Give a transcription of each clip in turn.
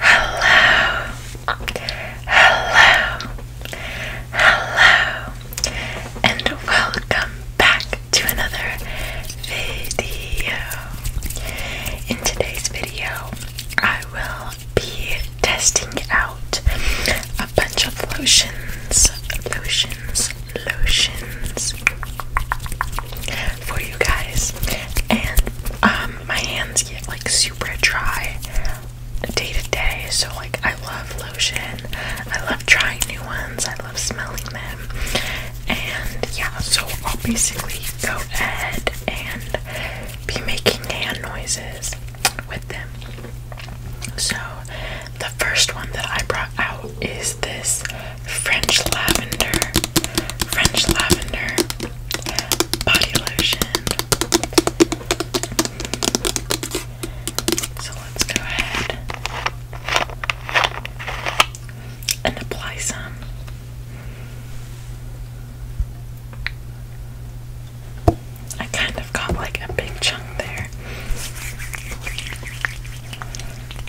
Hello, hello, hello, and welcome back to another video. In today's video, I will be testing out a bunch of lotions, lotions, lotions for you guys. And um, my hands get like super dry day to day, so like I love lotion. I love trying new ones. I love smelling them. And yeah, so I'll basically go ahead and be making hand noises with them. So the first one that I brought out is this French Lavender, French Lavender Body Lotion. So let's go ahead and apply some. I kind of got like a big chunk there.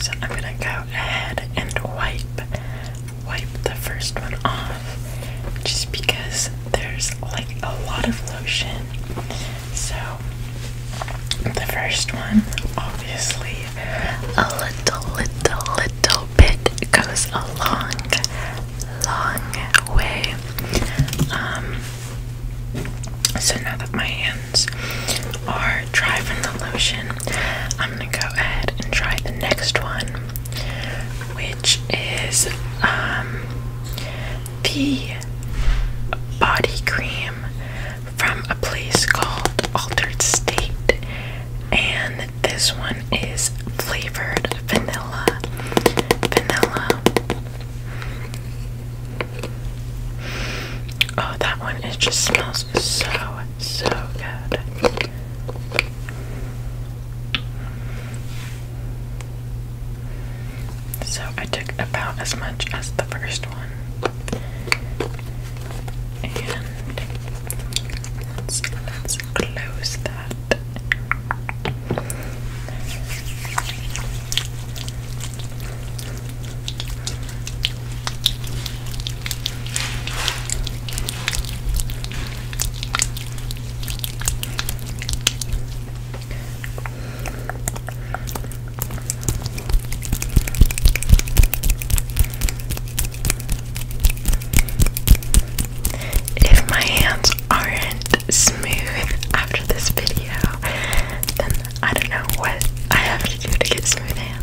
So I'm gonna go ahead and wipe wipe the first one off just because there's like a lot of lotion. So the first one obviously a little little little bit goes a long long way. Um so now that my hands are dry from the lotion. I'm gonna go ahead and try the next one, which is um, the body cream from a place called Altered State, and this one is flavored vanilla. Vanilla. Oh, that one, it just smells so, so good. So I took about as much as the first one. And let's, close that. If my hands aren't smooth after this video, then I don't know what I have to do to get smooth hands.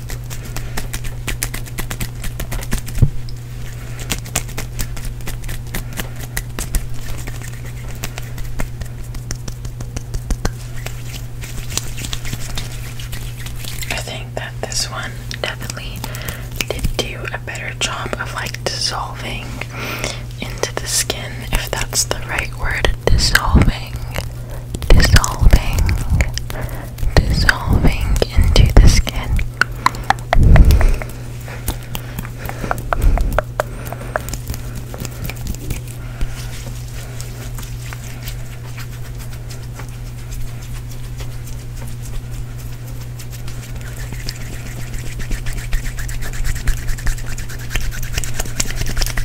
I think that this one definitely did do a better job of like dissolving into the skin, if that's the right word, dissolving dissolving, dissolving into the skin.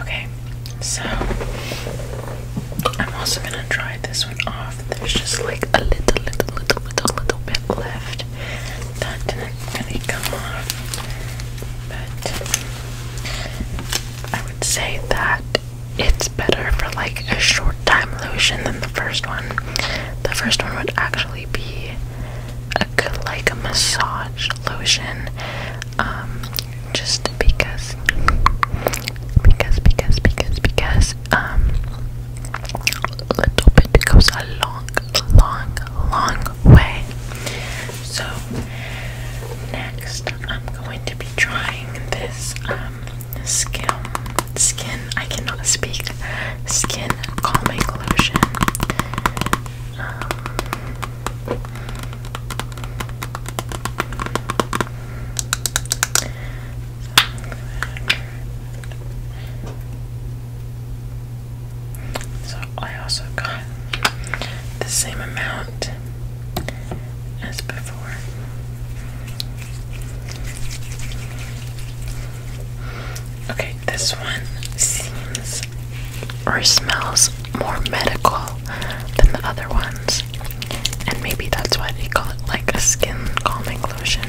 Okay, so I'm also gonna dry this one off. There's just like a little, little, little, little, little bit left. That didn't really come off, but I would say that it's better for like a short time lotion than the first one. The first one would actually be a good like a massage lotion. Um just because because because because because um a little bit goes a long long long way. So next I'm going to be trying this um, skin skin I cannot speak skin calming lotion. Um, so I also got the same amount as before. Okay, this one seems or smells more medical than the other ones, and maybe that's why they call it like a skin calming lotion.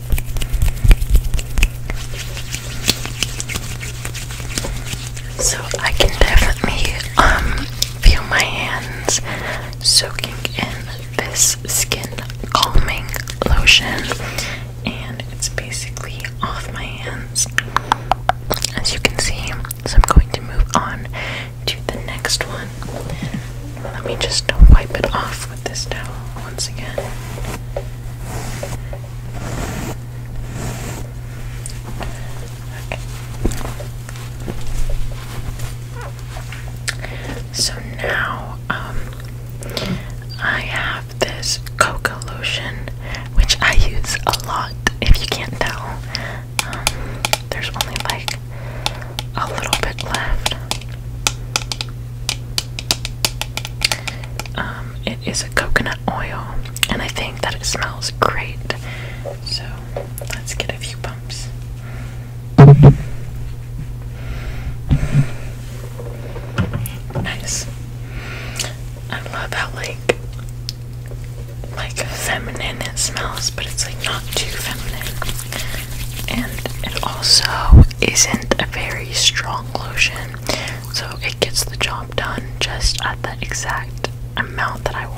So I can definitely um feel my hands soaking in this skin calming lotion and it's basically off my hands. As you can see, so I'm going to move on to the next one. Let me just wipe it off with this towel once again. So now um, I have this cocoa lotion, which I use a lot. If you can't tell, um, there's only like a little bit left. Um, it is a coconut oil, and I think that it smells great. So let's get a few pumps. Nice. I love how like like feminine it smells, but it's like not too feminine and it also isn't a very strong lotion, so it gets the job done just at the exact amount that I want.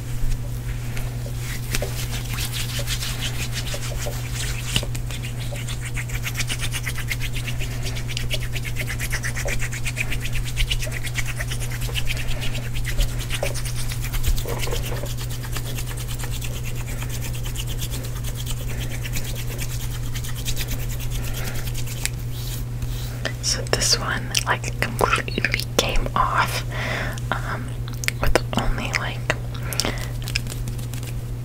So this one like completely came off um, with only like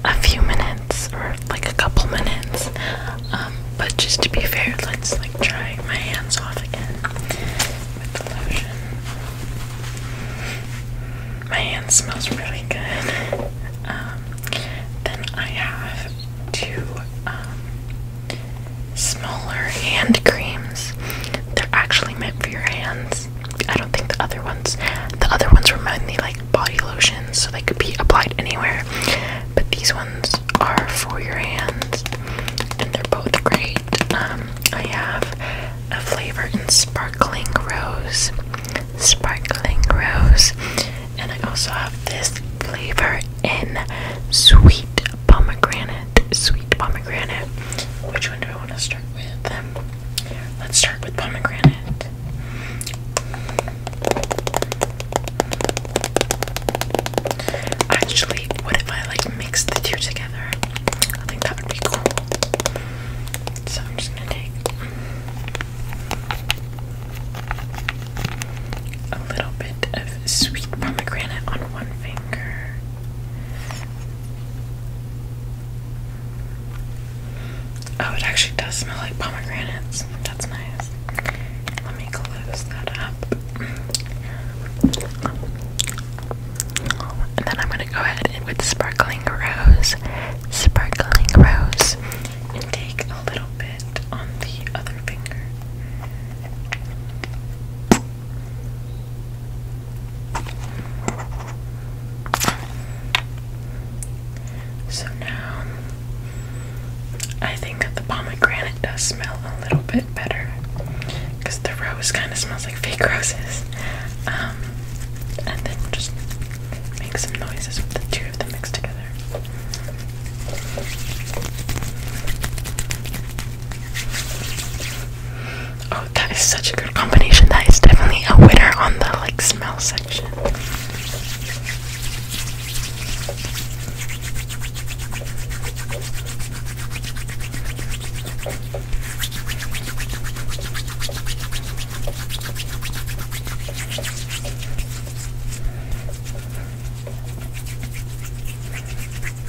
a few minutes or like a couple minutes. Um, but just to be fair, let's like try my hands off again with the lotion. My hand smells really good. Um, then I have two um, smaller hand creams. They're actually meant for your hands. I don't think the other ones the other ones remind me like body lotions, so they could be applied anywhere. But these ones are for your hands and they're both great. Um, I have a flavor in sparkling rose. Sparkling rose. And I also have this flavor in sweet pomegranate, sweet pomegranate. Which one do I want to start with? Um, let's start with pomegranate. Actually, what if I like mix the two together? I think that would be cool. So I'm just gonna take a little bit of sweet pomegranate on one finger Oh, it actually does smell like pomegranates. That's nice. Let me close that up. And then I'm gonna go ahead and with sparkling rose, sparkling rose, and take a little bit on the other finger. So now I think that the pomegranate does smell a little bit better because the rose kind of smells like fake roses. Um, and then just make some noises with the two of them mixed together. Oh, that is such a good combination. That is definitely a winner on the like smell section.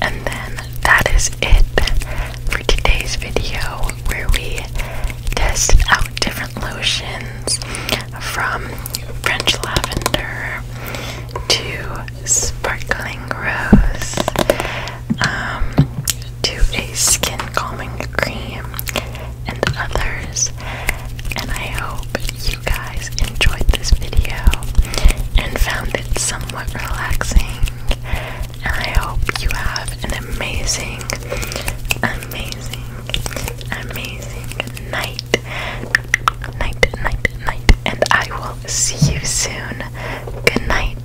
And then that is it for today's video where we test out different lotions from French lavender to sparkling rose um, to a skin calming cream and others. And I hope you guys enjoyed this video and found it somewhat relaxing. And I hope you have an amazing, amazing, amazing night. Night, night, night. And I will see you soon. Good night.